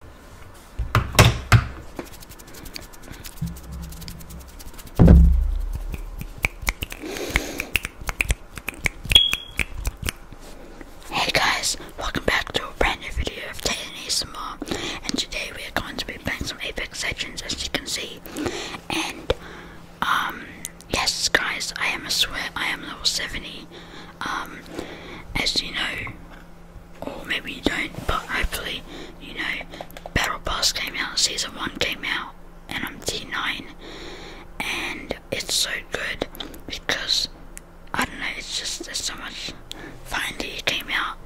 Hey guys, welcome back to a brand new video of Titan ASMR and today we are going to be playing some Apex Legends as you can see and um yes guys I am a swear I am level 70 um as you know or maybe you don't, but hopefully, you know, Battle Pass came out, Season 1 came out, and I'm T9, and it's so good because I don't know, it's just there's so much Finally, it came out,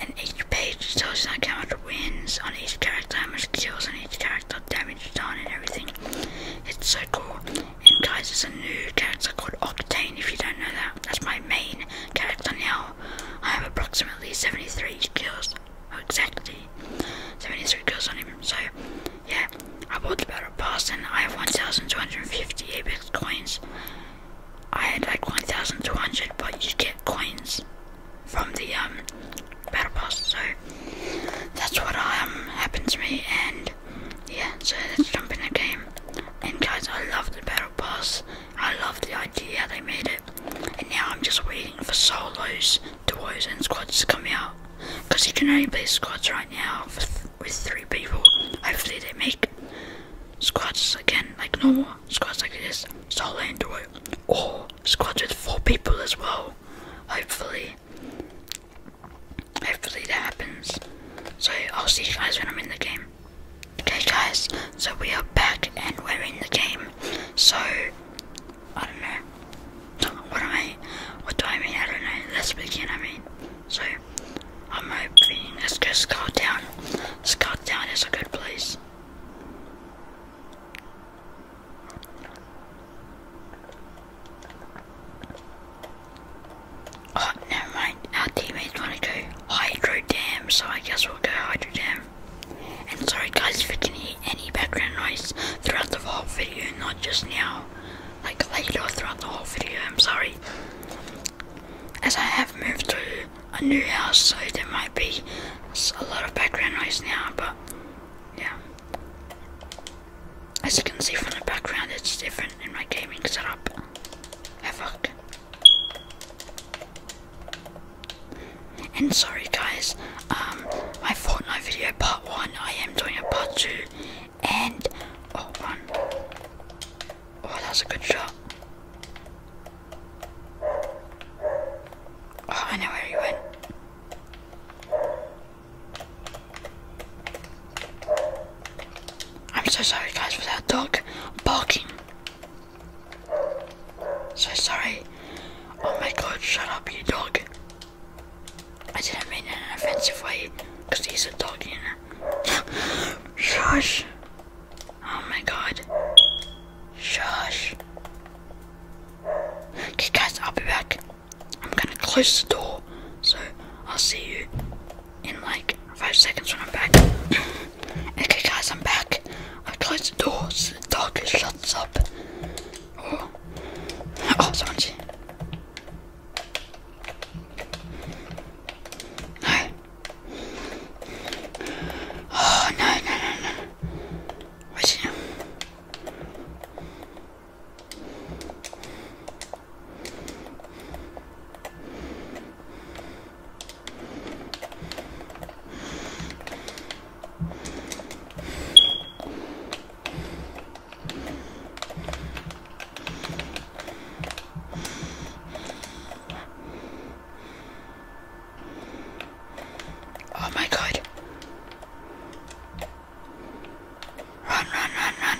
and each page tells you like how much wins on each character, how much kills on each character, damage done, and everything. It's so cool. And guys, there's a new character called Octane. If you don't know that, that's my main character now. I have approximately 73 kills. Oh, exactly. 73 kills on him. So, yeah, I bought the battle pass and I have 1,250 Apex coins. I had like 1,200, but you get coins from the um, battle pass. So, that's what um, happened to me. And, yeah, so let's jump in the game. And guys, I love the battle pass. I love the idea they made it. And now I'm just waiting for solos, duos, and squads to come out. Because you can only play squads right now with three people. Hopefully they make squads again, like normal squads like this, solo and duo, or squads with four people as well. Hopefully, hopefully that happens. So I'll see you guys when I'm in the game. Okay guys, so we are back and we're in the game. So I don't know. What do I mean? I don't know. Let's begin I mean. So I'm hoping let's go Scout Town. Scout Town is a good place. Oh, never mind. Our teammates want to go Hydro Dam, so I guess we'll go Hydro Dam. And sorry guys if we can hear any background noise throughout the whole video, not just now. Like later throughout the whole video, I'm sorry. As I have moved to a new house, so there might be a lot of background noise now, but yeah. As you can see from the background, it's different in my gaming setup. Havoc. And sorry guys, um, my Fortnite video part 1, I am doing a part 2, and, oh, one. Oh, that was a good shot. Oh, I know where he went. I'm so sorry guys for that dog barking. So sorry. Oh my god, shut up you dog. I didn't mean it in an offensive way, because he's a dog, you know. Shush! Oh my god. Shush. Okay guys, I'll be back. I'm gonna close the door, so I'll see you in like five seconds when I'm back. okay, guys, I'm back. I closed the doors. the dog shuts up. Oh, oh someone's here. No. Oh, no, no, no, no. What's he? Oh my god. Run, run, run, run.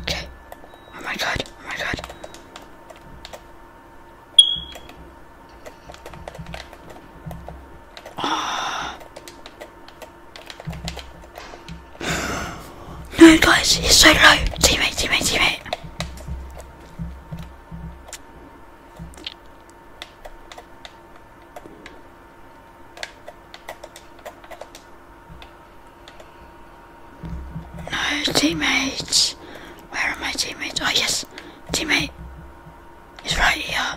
Okay. Oh my god. Oh my god. Ah. Oh. No guys, he's so low. Teammate, teammate, teammate. No, teammates. Where are my teammates? Oh yes, teammate. He's right here.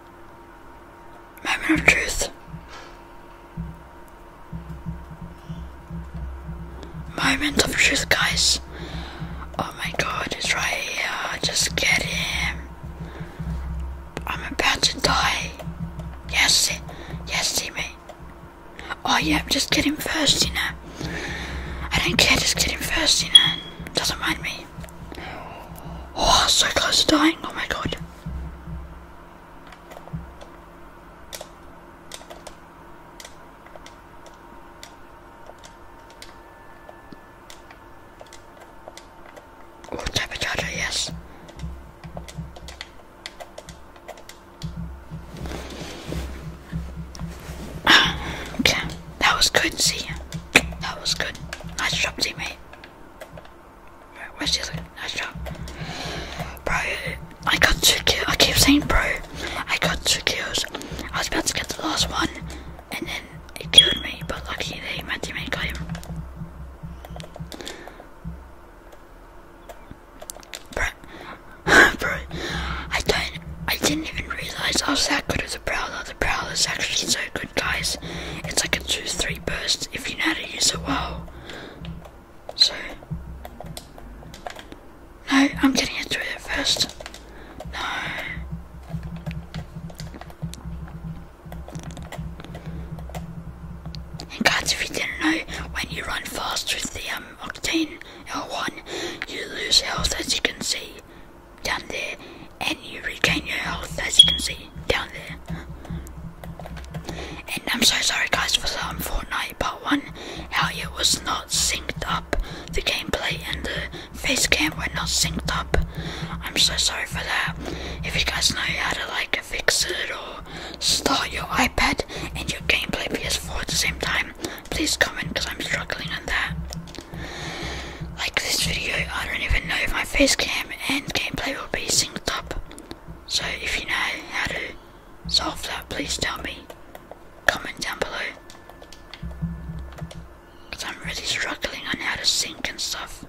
Moment of truth. Moment of truth, guys. Oh my god, it's right here. Just get him. I'm about to die. Yes, yes, me. Oh yeah, just get him first, you know. I don't care, just get him first, you know. Doesn't mind me. Oh, so close to dying. Oh my god. Oh, type charger, yes. okay, that was good. See, that was good. Nice job, teammate. Where's the Nice job. Bro, I got two kills. I keep saying, bro, I got two kills. I was about to get the last one, and then it killed me, but luckily they, my teammate got him. Bro, bro, I don't, I didn't even realize I was that good at the Prowler. The Prowler's actually so good guys. It's like a 2-3 burst if you know how to use it well. So, no, I'm getting into it first. No. And guys, if you didn't know, when you run fast with the um, Octane L1, you lose health as you can see down there and you regain your health as you can see down there. And I'm so sorry guys for some Fortnite part 1, how it was not synced up. The gameplay and the face cam were not synced up. I'm so sorry for that. If you guys know how to like fix it or start your iPad and your gameplay PS4 at the same time, please comment because I'm struggling on that. Like this video, I don't even know if my face cam and gameplay will be synced up. So if you know how to solve that, please tell me. Comment down below. Because I'm really struggling on how to sync and stuff.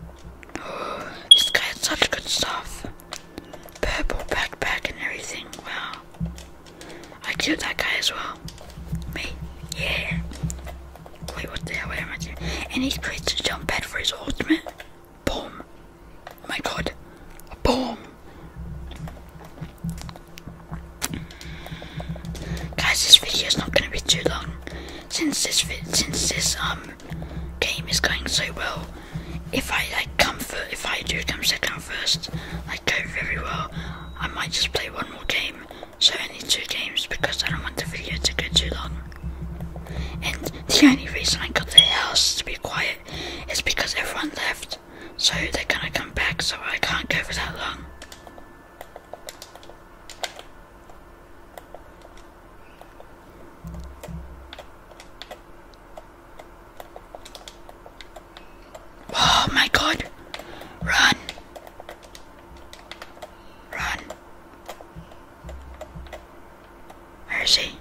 Oh, this guy had such good stuff. Purple backpack and everything, wow. I killed that guy as well. Me, yeah. Wait, what the hell am I doing? And he's placed to jump pad for his ultimate. Boom. Oh my god. Boom. Guys, this video is not going to be too long. Since this since this um game is going so well, if I like come first, if I do come second first, I go very well, I might just play one more game so I need two games because I don't want the video to go too long. And the only reason I got the house to be quiet is because everyone left. So they're gonna come back so I can't go for that long. Oh my god! Run! Run! Where is he?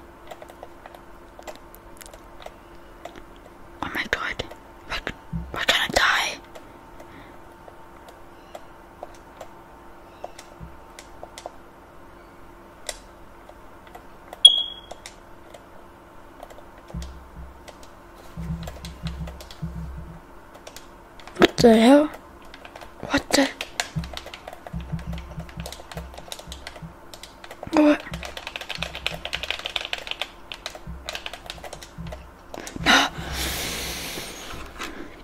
Oh my god. we we're gonna die. What the hell? What the? What?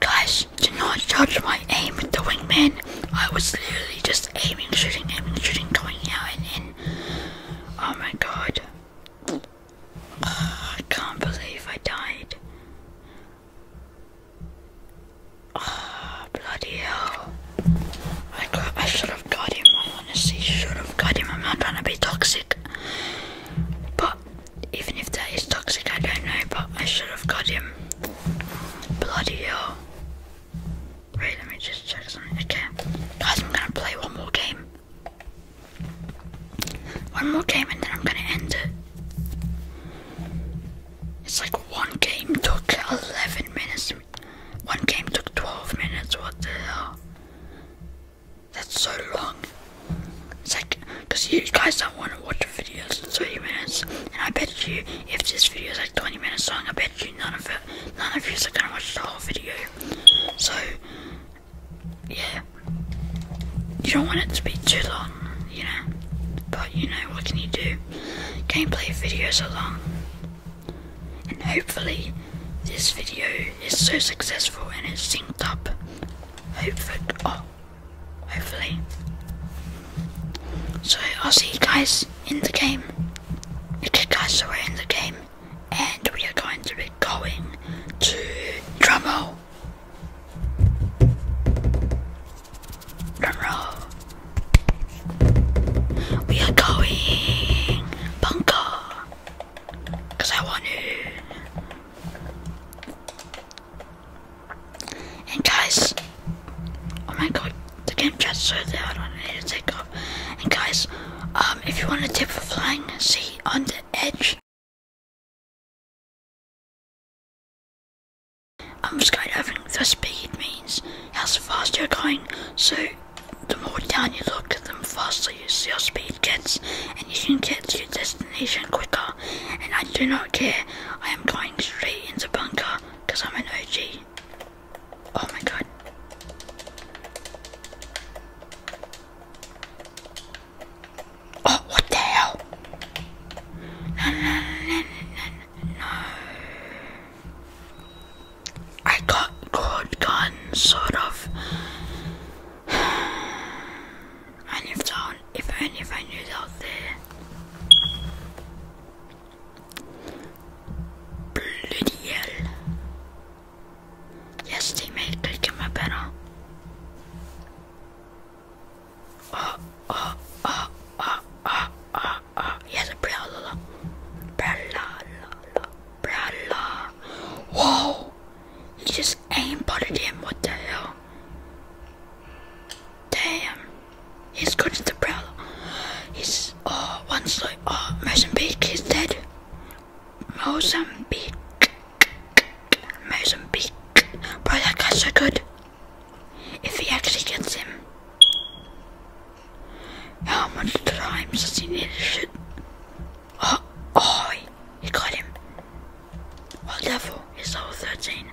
Guys, do not judge my aim with the wingman. I was literally just aiming, shooting, aiming, shooting, going out and in. Oh my god. I can't believe I died. Ah, bloody hell. I, I should have got him. I honestly should have got him. I'm not trying to be toxic. But even if that is toxic, I don't know. But I should have got him. Bloody hell. Wait, let me just check something. Okay. Guys, I'm gonna play one more game. One more game and then I'm gonna end it. It's like one game took 11 minutes, one game took 12 minutes. What the hell? That's so long. It's like, because you guys don't want to watch videos in 30 minutes, and I bet you if this video is like 20 minutes long, I bet you none of it, none of you is gonna watch the whole video. So, yeah, you don't want it to be too long on, you know. But you know, what can you do? Gameplay videos are long. And hopefully, this video is so successful and it's synced up. Hopefully, oh, hopefully. So I'll see you guys in the game. Okay, guys, are in the game, and we are going to be going to Drummo roll. We are going bunker. Cause I want to. And guys, oh my god, the game just so that I need to take off. And guys, um, if you want a tip for flying, see on the edge. I'm skydiving, the speed means how fast you're going. So, the more down you look, at the faster your speed gets, and you can get to your destination quicker. And I do not care. I am going straight into bunker because I'm an OG. Oh my god. Oh, what the hell? I got good gun, sort of. And if down, if if I knew out there, bloody hell! Yes, they made click in my ah, ah, ah, ah, ah, ah, ah. Yes, umbrella, umbrella, umbrella. Whoa! He just aimbutted him. What the hell? Damn. He's good at the umbrella. He's oh, once like oh, Mozambique is dead. Mozambique. Mozambique. Bro, that guy's so good. If he actually gets him. How much time does he need to shoot? Oh, oh he got him. What level is level 13?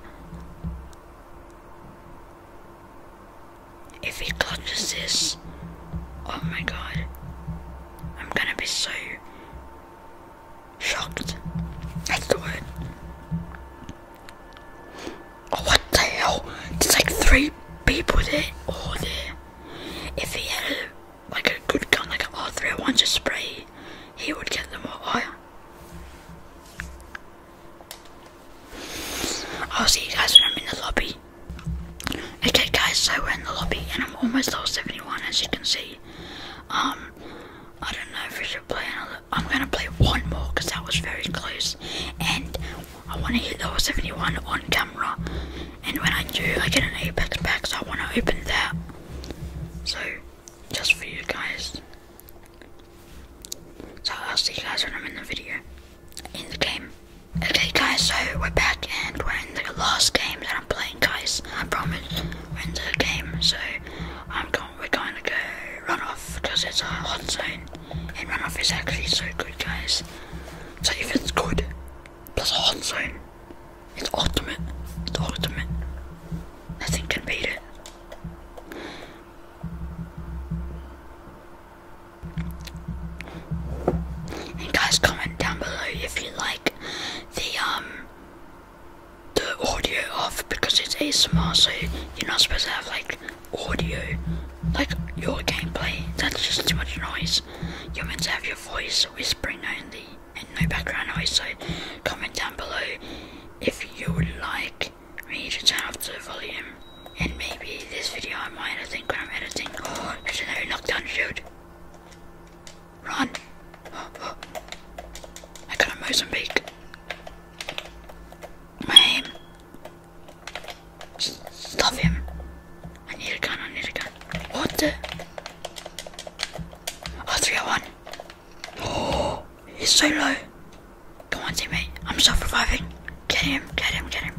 If he clutches this, oh my god. I'm gonna be so shocked. That's the word. Oh, what the hell? There's like three people there. Oh, there. If he had like a good gun, like an R301 just spray, he would get them all higher. Oh, I'll see you guys when I'm in the lobby. Okay guys, so we're in the lobby and I'm almost level 71 as you can see. Um, I don't know if we should play another I'm gonna play one more because that was very close, and I want to hit level 71 on camera. And when I do, I get an Apex pack, so I want to open that. So, just for you guys. So I'll see you guys when I'm in the video, in the game. Okay guys, so we're back and we're in the last game that I'm playing guys. I promise we're in the game, so I'm going, we're going to go runoff because it's a hot zone, and run off is actually so good, guys. So if it's good plus a hot zone, it's ultimate. It's ultimate. Nothing can beat it. And guys, comment down below if you like the um the audio off because it's ASMR, so you're not supposed to have like audio, like your gameplay. That's just too much noise. You're meant to have your voice whispering only and no background noise. So comment down below if you would like me to turn off the volume. And maybe this video I might, editing, when I'm editing. Oh, I knockdown shield. Run! I got a Mozambique. Um, stop him. I need a gun, I need a gun. What the? Oh, oh, oh, he's so low. Come on, teammate. I'm self reviving. Get him, get him, get him.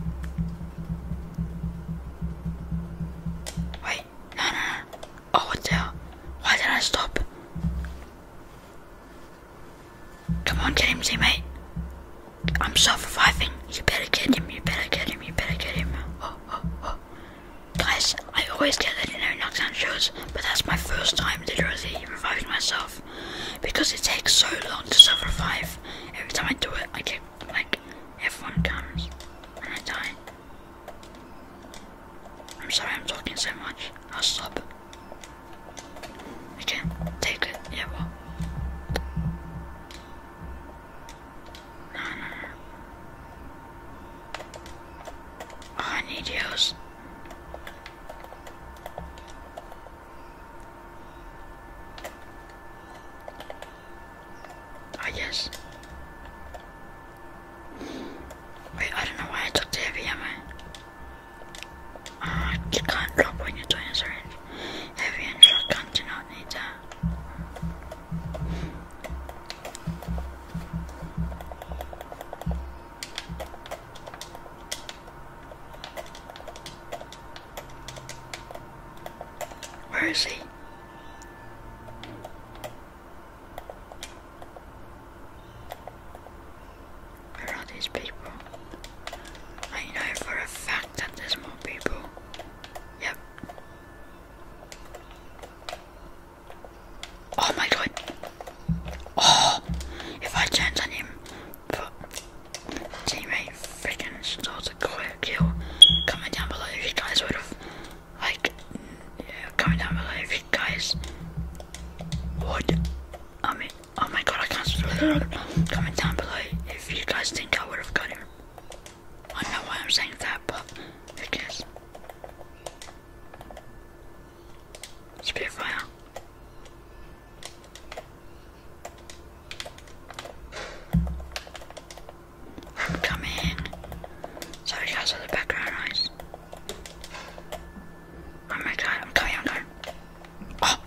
Wait, Oh, what the hell? Why did I stop? Come on, get him, I'm self-reviving. You better get him, you better get him, you better get him. Oh, oh, oh. Guys, I always get that in no knockdown shows, but that's my first time literally reviving myself. Because it takes so long to self-revive. Every time I do it, I get, like, everyone comes, and I die. I'm sorry I'm talking so much. I'll stop. I can't take it. Yeah, well. No, no, no. Oh, I need yours. Oh, yes. Wait, I don't know why I took the heavy uh, you can't drop when you're doing a syringe. Heavy and shotgun not need that. Where is he? Where are these people? I know for a fact that there's more people. Yep. Oh my god. Oh, if I turned on him, teammate freaking started a kill. Comment down below if you guys would have, like, yeah, comment down below if you guys would, I mean, Oh my god, I can't comment down below if you guys think I would have got him. I know why I'm saying that, but who cares? Spitfire. I'm coming. Sorry guys for the background noise. I'm on time, I'm oh.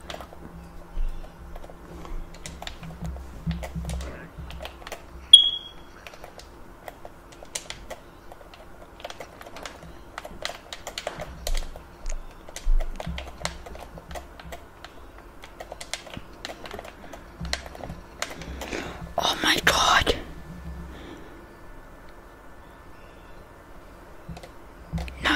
oh my god. No.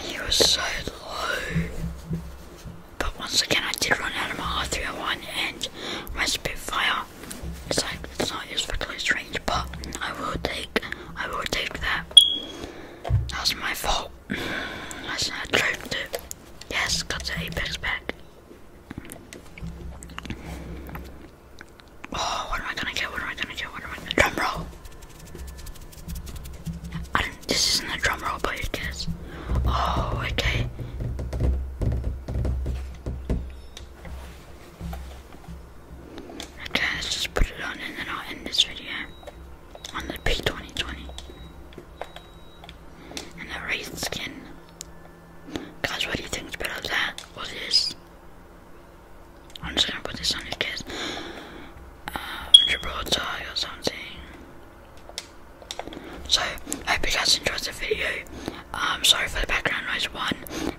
he was so low. But once again, I did run out of my R301 and my Spitfire. It's like it's not used for close range, but I will take I will take that. That was my fault. That's not attractive. Yes, got the Apex back. Oh, what am I gonna get? What am I gonna get? What am I gonna drum roll? this isn't a drum roll, but it is. Oh, okay. Okay, let's just put it on and then I'll end this video on the P2020 and that red skin. Guys, what do you think's better that or this? I'm just gonna put this on your kids. Uh, Gibraltar or something. So, I hope you guys enjoyed the video. I'm um, sorry for the background noise one,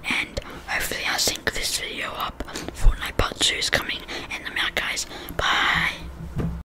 and hopefully I sync this video up. Fortnite Part 2 is coming, in the am guys. Bye!